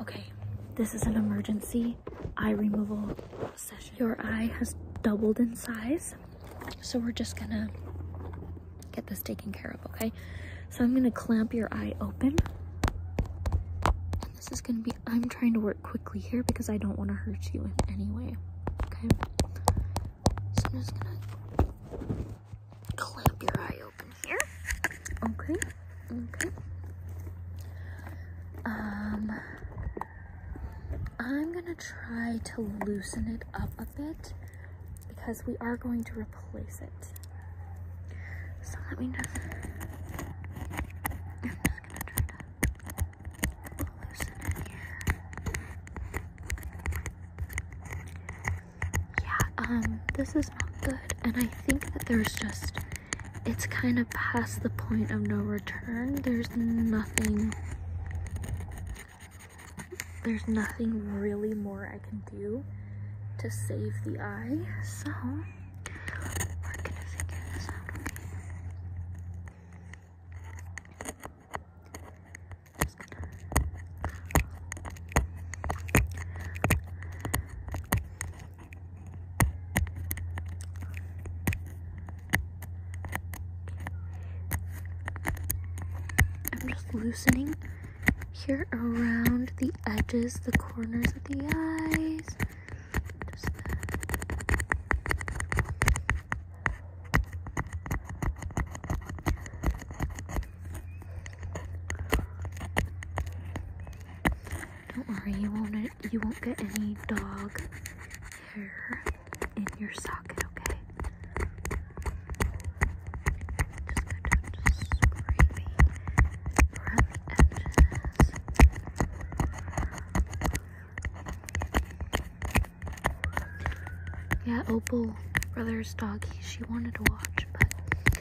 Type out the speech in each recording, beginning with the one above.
Okay, this is an emergency eye removal session. Your eye has doubled in size, so we're just gonna get this taken care of, okay? So I'm gonna clamp your eye open. And this is gonna be, I'm trying to work quickly here because I don't wanna hurt you in any way, okay? So I'm just gonna clamp your eye open here. Okay, okay. Um, I'm gonna try to loosen it up a bit because we are going to replace it. So let me know yeah, um, this is not good. And I think that there's just, it's kind of past the point of no return. There's nothing, there's nothing really more I can do to save the eye. So, I'm just loosening here around the edges, the corners of the eyes. Don't worry, you won't you won't get any dog hair in your socket, okay? Yeah, Opal, brother's dog, she wanted to watch, but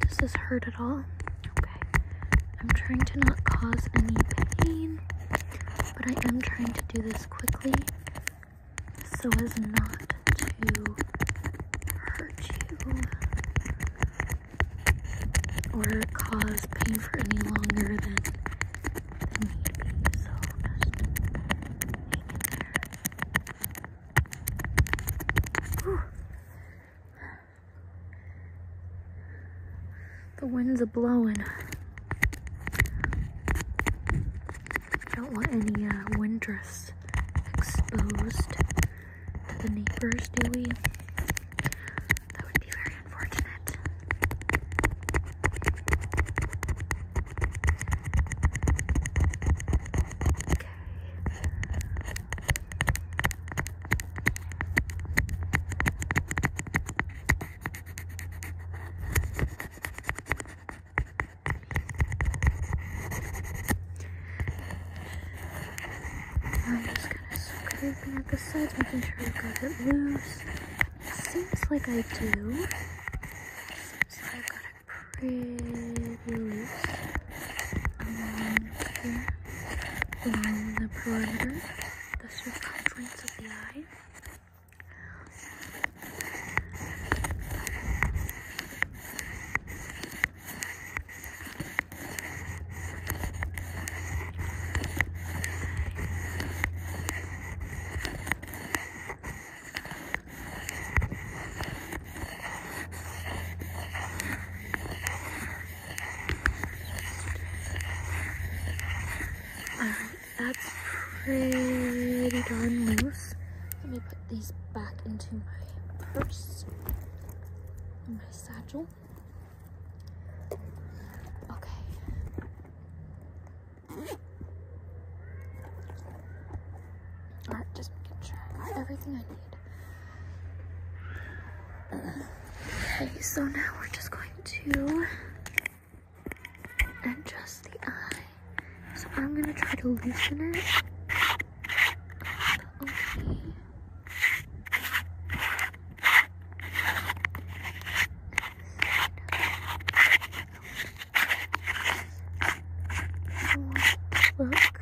Does this hurt at all? Okay. I'm trying to not cause any pain, but I am trying to do this quickly so as not to hurt you or cause pain for any longer than, than just hang in the winds are blowing. Don't want any uh, wind dress exposed to the neighbors, do we? That would be very unfortunate. I'm just kind of scraping up the sides, making sure I got it loose. Seems like I do pretty loose along here along the perimeter, the circumference of the eye. Alright, that's pretty darn loose. Let me put these back into my purse, my satchel. Okay. Alright, just making sure I got everything I need. Okay, so now we're just going to adjust the eye. So I'm gonna try to loosen it. Look.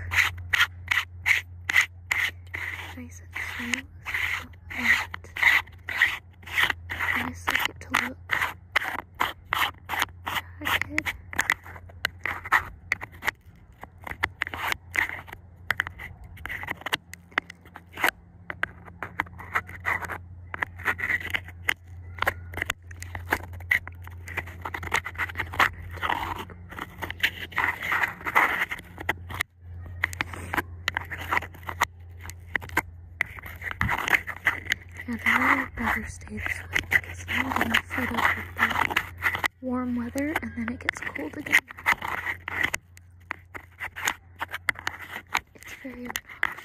Nice and smooth. And nice like to look. Jagged. Yeah, the weather better stay this way because I'm gonna fed up with the warm weather and then it gets cold again. It's very obnoxious.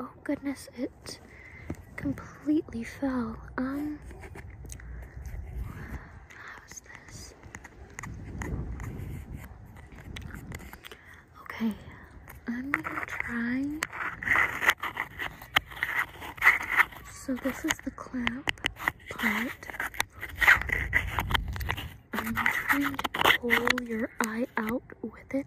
Oh goodness, it completely fell. Um, how is this? Okay, I'm gonna try. So this is the clamp part. I'm trying to pull your eye out with it.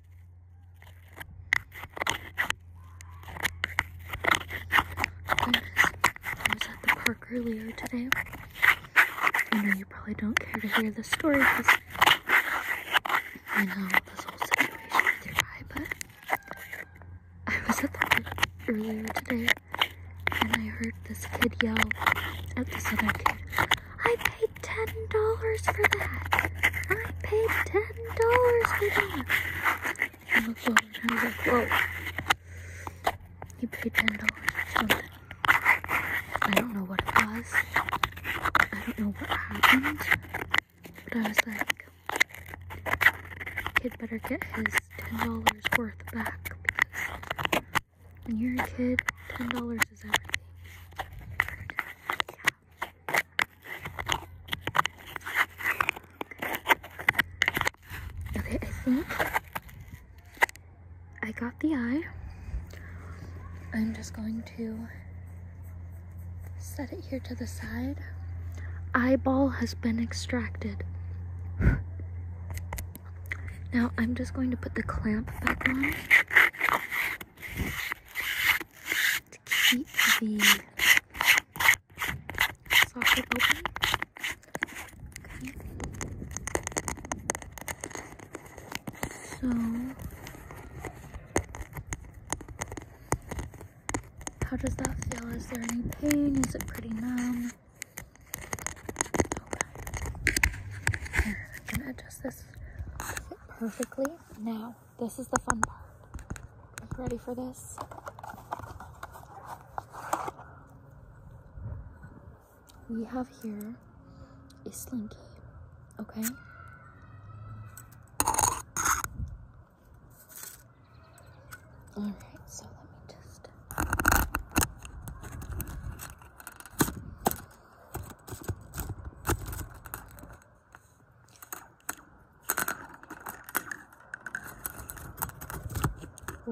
I was at the park earlier today. I know you probably don't care to hear the story because I know this whole situation with your eye, but I was at the park earlier today and I heard this kid yell at this other kid, I ten dollars for that. I paid ten dollars for that. He looked over and I was like, whoa. You paid ten dollars for something. I don't know what it was. I don't know what happened. But I was like, kid better get his ten dollars worth back because when you're a kid, $10 is everything. Okay, I think I got the eye. I'm just going to set it here to the side. Eyeball has been extracted. Now I'm just going to put the clamp back on to keep the socket open. So how does that feel? Is there any pain? Is it pretty numb? I'm gonna adjust this perfectly. Now, this is the fun part. Are you ready for this? We have here a slinky, okay? All right, so let me just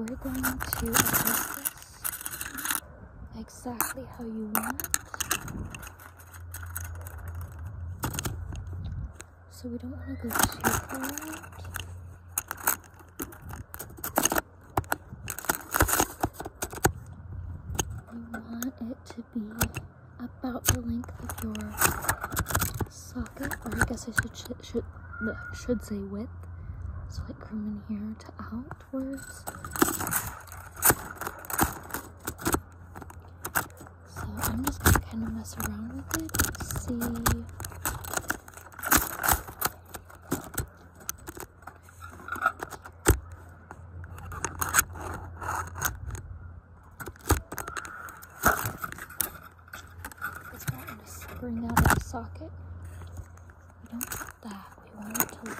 we're going to adjust this exactly how you want it. So we don't want to go too far I want it to be about the length of your socket, or I guess I should should should, say width. So like from in here to outwards. So I'm just gonna kind of mess around with it see it's going to spring out of the socket. We don't want that. We want it to live.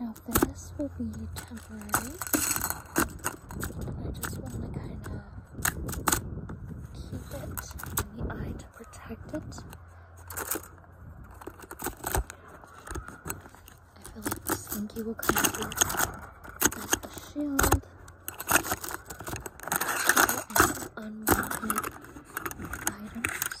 Now this will be temporary. I just want to kind of keep it in the eye to protect it. I feel like the slinky will come through as a shield. Unwanted items.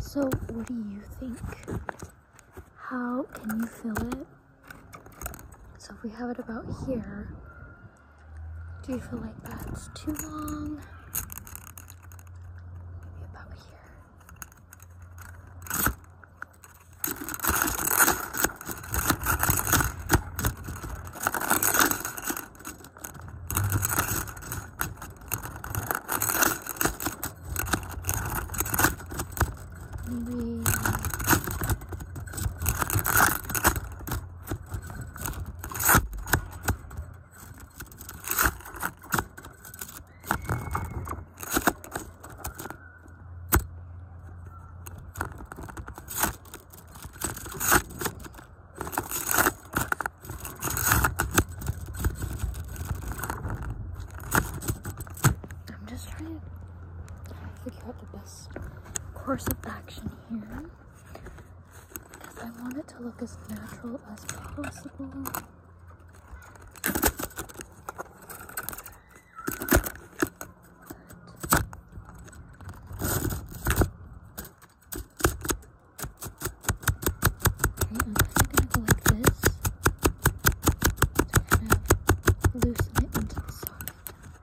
So, what do you think? How can you fill it? So, if we have it about here, do you feel like that's too long? Maybe about here. Maybe um, I'm just trying to figure out the best course of action here because I want it to look as natural as possible. loosen it into the socket.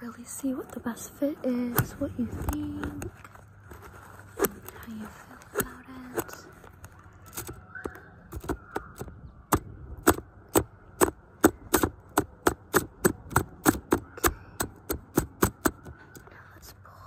Really see what the best fit is, what you think, how you feel about it. Okay. let's pull.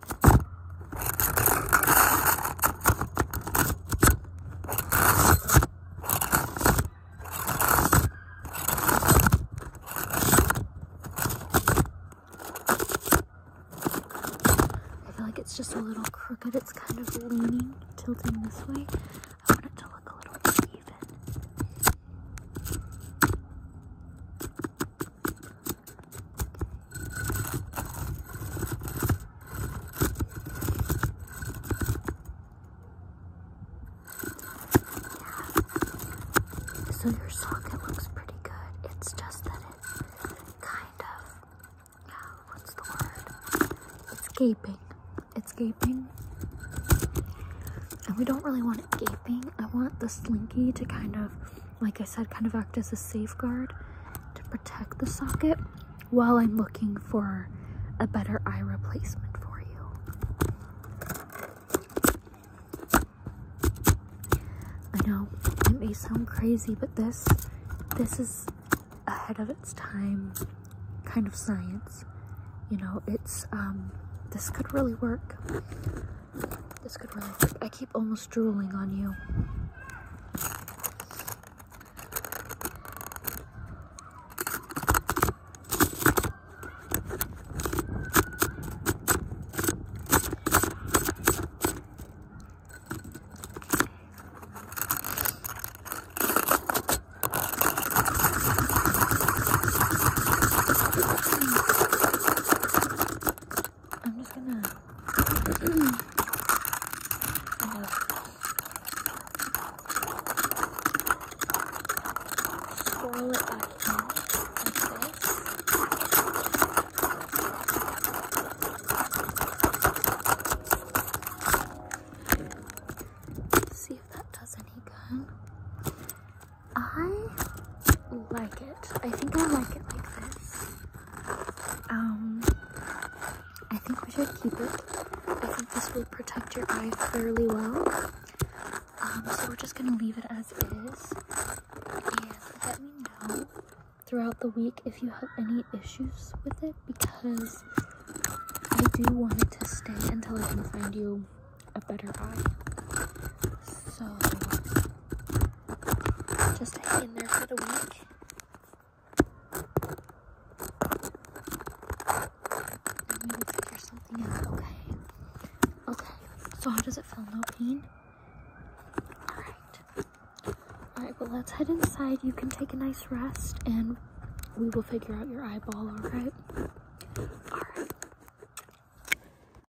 I feel like it's just a little crooked. It's kind of leaning, tilting this way. I want it to look a little even. So your socket looks pretty good. It's just that it kind of, uh, what's the word? It's gaping. It's gaping. And we don't really want it gaping. I want the slinky to kind of like I said, kind of act as a safeguard to protect the socket while I'm looking for a better eye replacement for you. I know it may sound crazy, but this, this is ahead of its time kind of science. You know, it's, um, this could really work. This could really work. I keep almost drooling on you. I'm just gonna kind it back See if that does any I like it. I think I like it like this. Um, I think we should keep it. I think this will protect your eye fairly well. Um, so we're just gonna leave it as is. And let me know throughout the week if you have any issues with it because I do want it to stay until I can find you a better eye. So just hang in there for the week. I need figure something out. Okay. Okay. So how does it feel? No pain? Alright. Alright, well let's head inside. You can take a nice rest and we will figure out your eyeball, alright? Alright.